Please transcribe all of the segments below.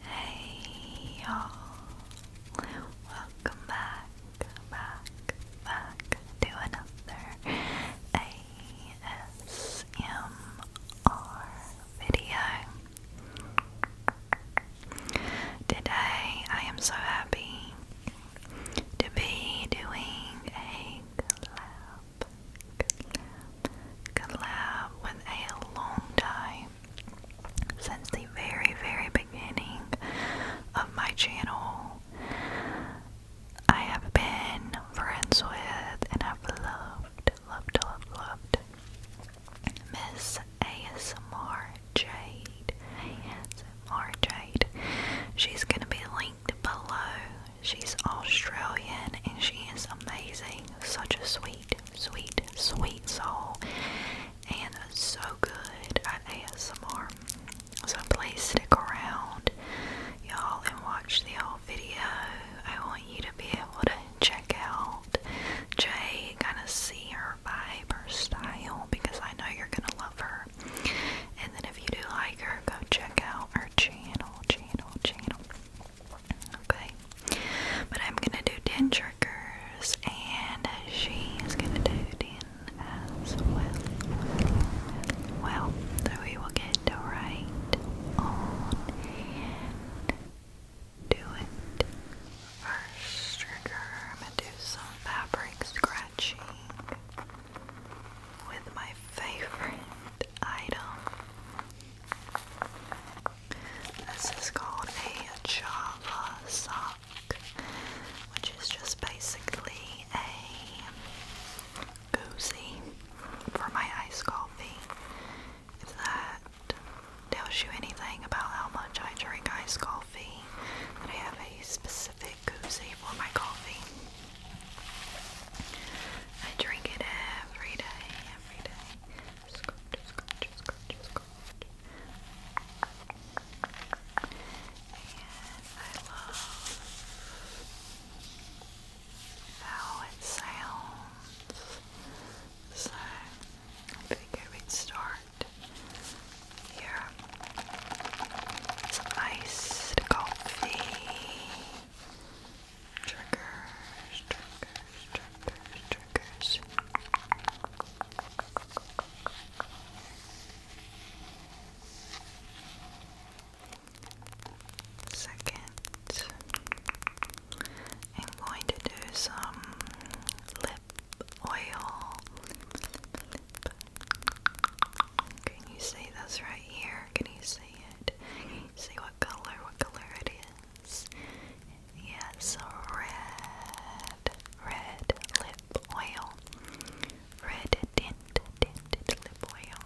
Hey y'all! Welcome back, back, back to another ASMR video. Today I am so happy to be doing a collab, collab, with a long time since the very, very beginning of my channel. I have been friends with and I've loved, loved, loved, loved Miss ASMR Jade. ASMR Jade. She's going to be linked below. She's Australian and she is amazing. Such a sweet sweet, sweet, sweet soul, and so good at ASMR. So please stick around, y'all, and watch the whole video. I want you to be able to check out Jay, kind of see her vibe, her style, because I know you're gonna love her. And then if you do like her, go check out her channel, channel, channel. Okay. But I'm gonna do 10 triggers and she's gonna do 10 as well. Well, so we will get to right do it. First trigger, I'm gonna do some fabric scratching with my favorite item. This is called a Java sock, which is just basically a koozie for my iced coffee. If that tells you anything about how much I drink iced coffee, that I have a specific koozie for my coffee. I drink it every day, every day scratch, scratch, scratch, scratch. And I love how it sounds. So I figure we'd start here. iced coffee triggers, triggers, triggers, triggers. Second, I'm going to do some lip oil. Can you see that's right here? Can you see it? see what color? What color it yes, yes, red, red lip oil, red tint, tinted lip oil,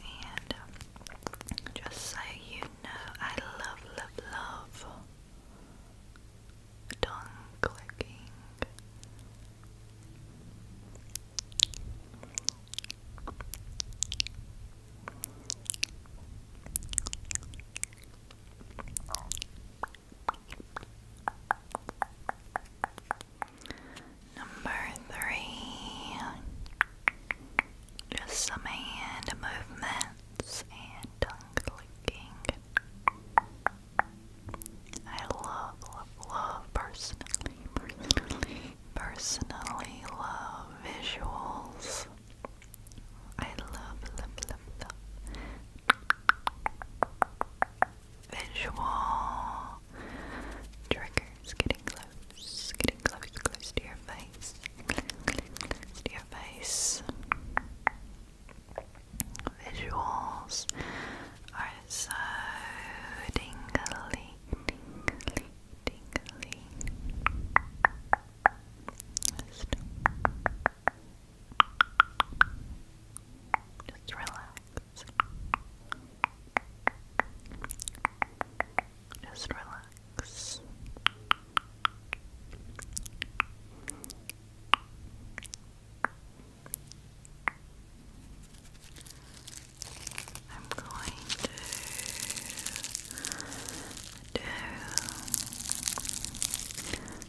and um, just so you know, I love, love, love tongue clicking. Number three, just some hand movements and tongue clicking. I love, love, love personally, personally personally love visuals. I love, love, love, love. Visual triggers getting close, getting close, close to your face, to your face. Visuals are so tingly, tingly. Just, just relax. Just relax. I'm going to do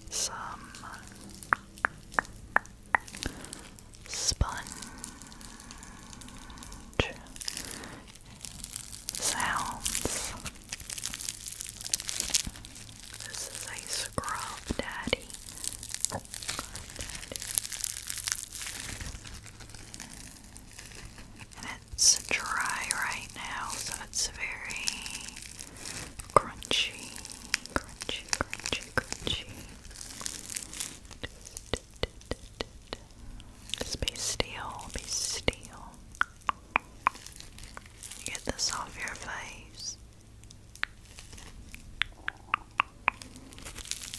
some sponge sounds. This is a scrub daddy. Scrub daddy it's dry right now, so it's very crunchy, crunchy, crunchy, crunchy. Just be still, be still. Get this off your face. Relax. Next,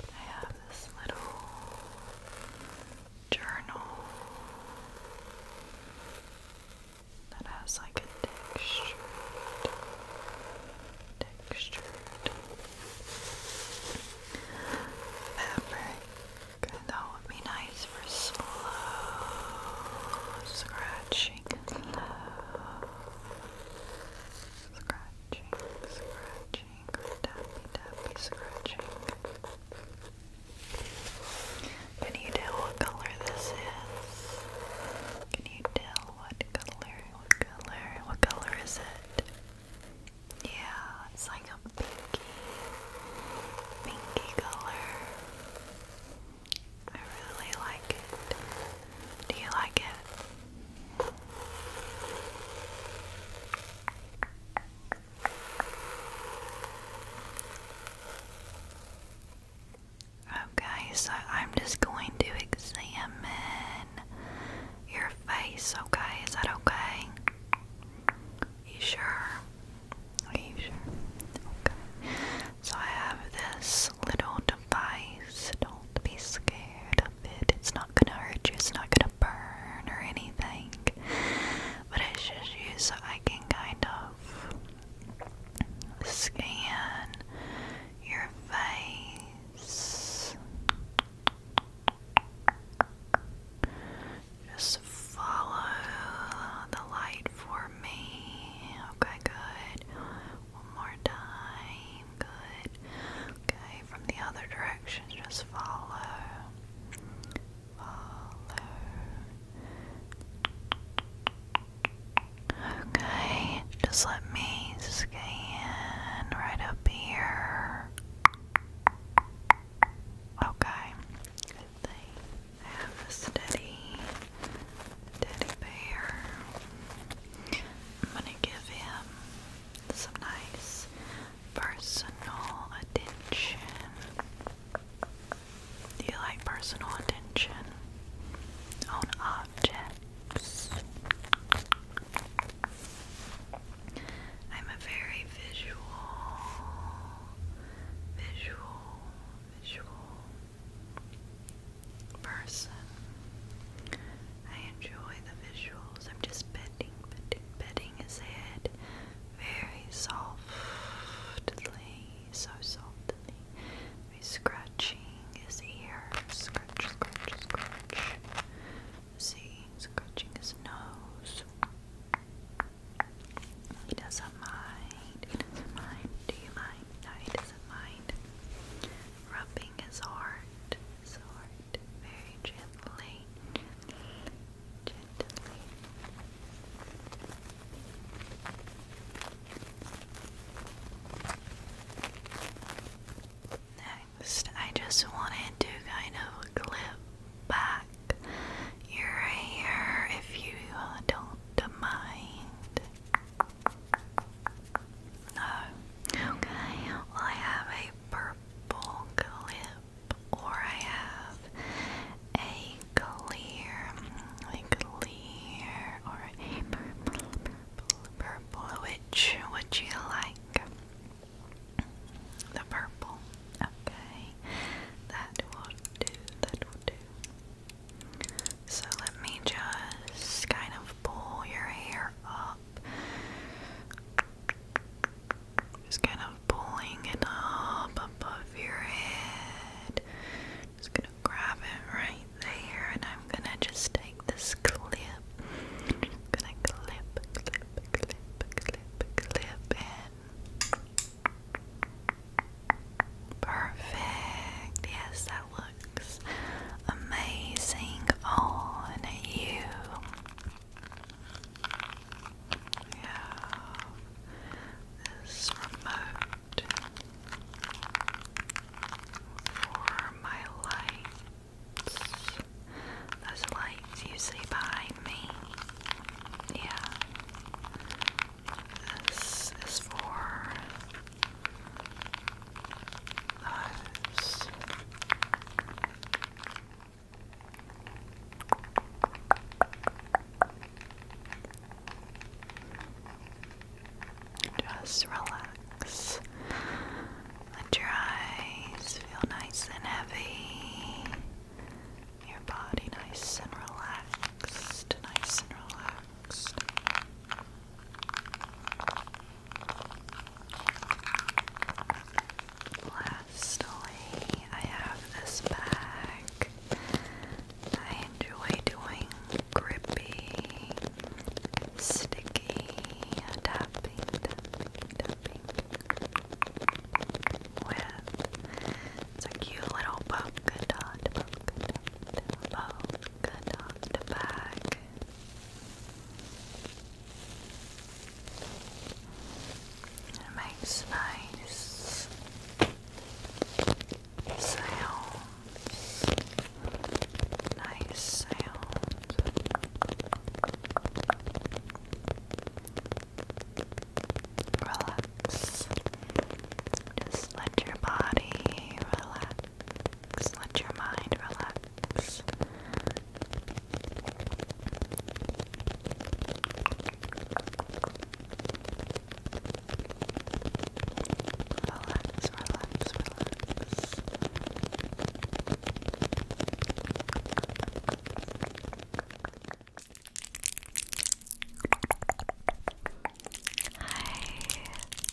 I have this little journal that has like a texture, texture, fabric. And that would be nice for slow scratching, scratching, scratching, tappy, tappy, scratching. Can you tell what color this is? Can you tell what color? What color? What color is it? Yeah, it's like a pinky, pinky color. I really like it. Do you like it? Okay, so I'm just going to examine your face, okay? Is that okay? You sure? Are you sure? Okay. So I have this little device. Don't be scared of it. It's not gonna hurt you, it's not gonna burn or anything. But it's just you so I can kind of Scan your face. Just follow the light for me. Okay, good. One more time. Good. Okay, from the other direction, just follow. Follow. Okay, just let me scan right up here. Okay, good thing I have a steady teddy bear. I'm gonna give him some nice personal attention. Do you like personal attention on objects? I'm a very visual, visual, visual person. I enjoy the visuals. I'm just petting, petting, petting his head very softly, so softly scratching his ear. Scratch, scratch, scratch. See, scratching his nose. He doesn't mind. He doesn't mind. Do you mind? No, he doesn't mind. Rubbing his heart. heart. Very gently. Gently. Next, I just wanted to kind of clip back your hair if you don't mind. No. Okay, well, I have a purple clip, or I have a clear, a clear, or a purple, purple. Which would you like? The purple. Okay, that will do. That will do. So let me just kind of pull your hair up. Just kind of pulling it up above your head. I'm just gonna grab it right there and I'm gonna just take this clip. gonna clip, clip, clip, clip, clip in. Perfect. Yes, that looks amazing on you. Yeah this remote for my lights. Those lights you see behind me. Yeah. This is for those. Just relax. Let your eyes feel nice and heavy. Your body nice and relaxed. Nice and relaxed. Lastly, I have this bag. I enjoy doing grippy, sticky and dapping tapping with a cute little polka dot, polka dot bag. It makes nice sounds. Nice sounds. Relax. Just let your body relax. Let your mind relax. Hi,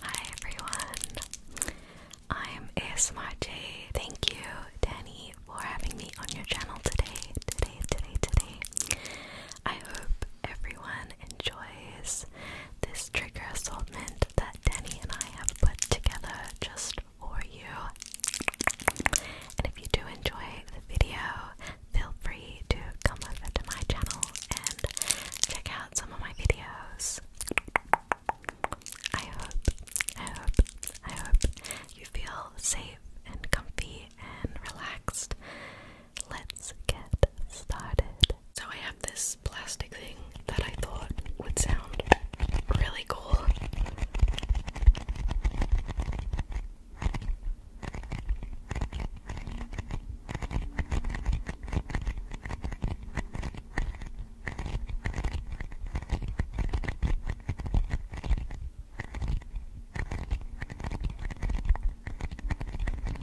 hi everyone. I'm ASMRJ. Thank you, Danny, for having me on your channel today, today, today, today. I hope everyone enjoys this trigger assortment that Danny and I have put together just for you. And if you do enjoy the video, feel free to come over to my channel and check out some of my videos. I hope, I hope, I hope you feel safe and comfy and relaxed let's get started. So, I have this plastic thing that I thought would sound really cool.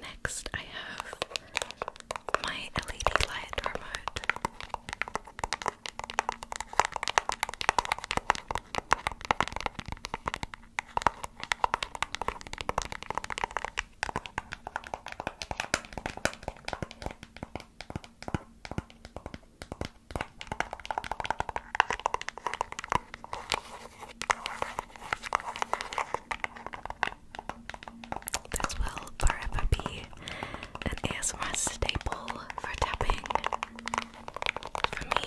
Next, I have my LED light remote. This will forever be an ASMR staple for tapping for me.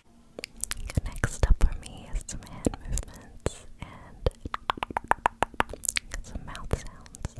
Next up for me is some hand movements and some mouth sounds.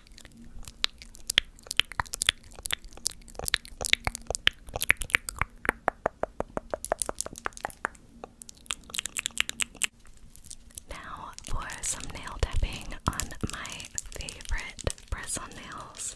Now for some nail tapping on my favorite press on nails.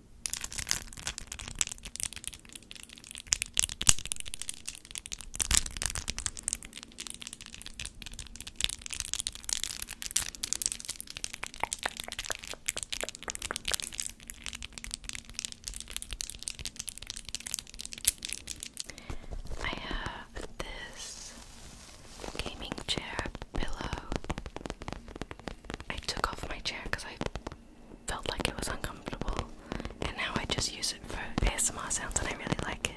I have this gaming chair pillow I took off my chair because I felt like it was uncomfortable, and now I just use it for ASMR sounds, and I really like it.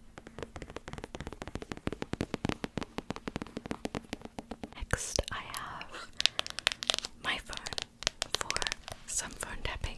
Next, I have my phone for some phone tapping.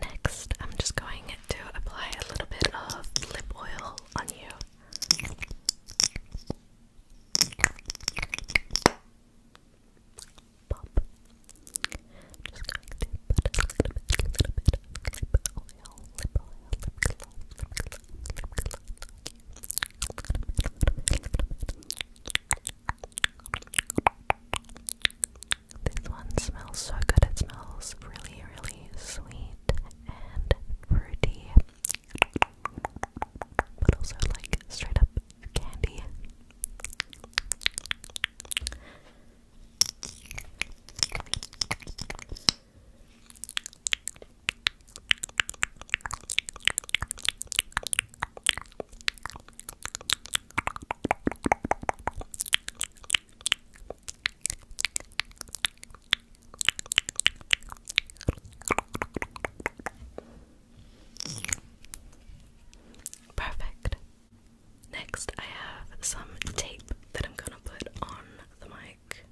Next, I'm just going to apply a little bit of lip oil on you. Pop. I'm just going to put a little bit, a little bit of lip oil, lip oil, lip gloss, lip gloss, lip gloss. This one smells so good. It smells really, really sweet and fruity but also like straight up candy. Perfect. Next, I have some tape that I'm gonna put on the mic.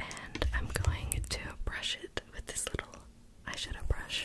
And I'm going to brush it with this little eyeshadow brush.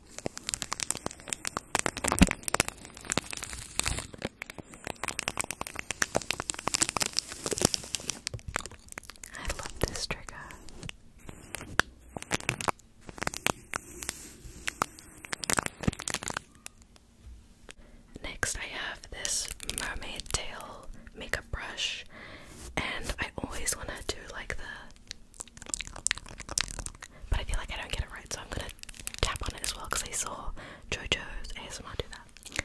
I love this trigger. Next, I have this mermaid tail makeup brush, and I always want to do like the but I feel like I don't get it right, so I'm gonna tap on it as well because I saw JoJo's ASMR do that.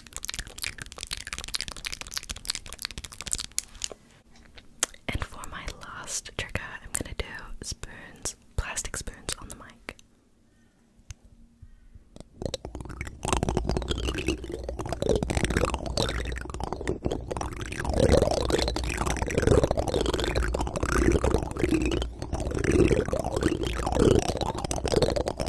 And for my last trigger, I'm gonna do spoons, plastic spoons on the mic.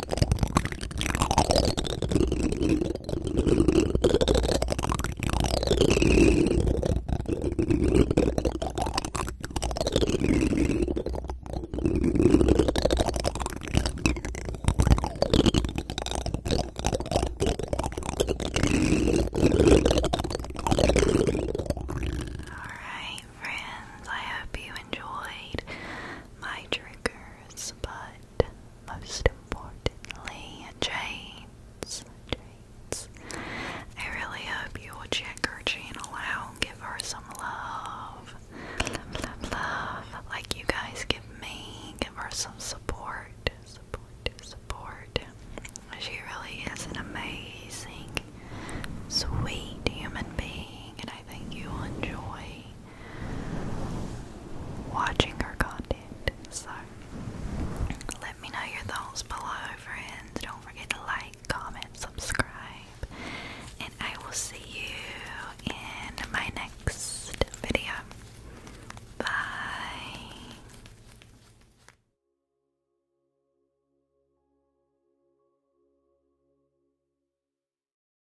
Alright, friends, I hope you enjoyed my triggers, but and most importantly, Jade's. Jade's. I really hope you will check her channel out give her some Love, love, love. Like you guys give me, give her some support. Support, support. She really is an amazing, sweet human being, and I think you'll enjoy watching our content. So let me know your thoughts below, friends. Don't forget to like, comment, subscribe, and I will see you in my next video. Bye.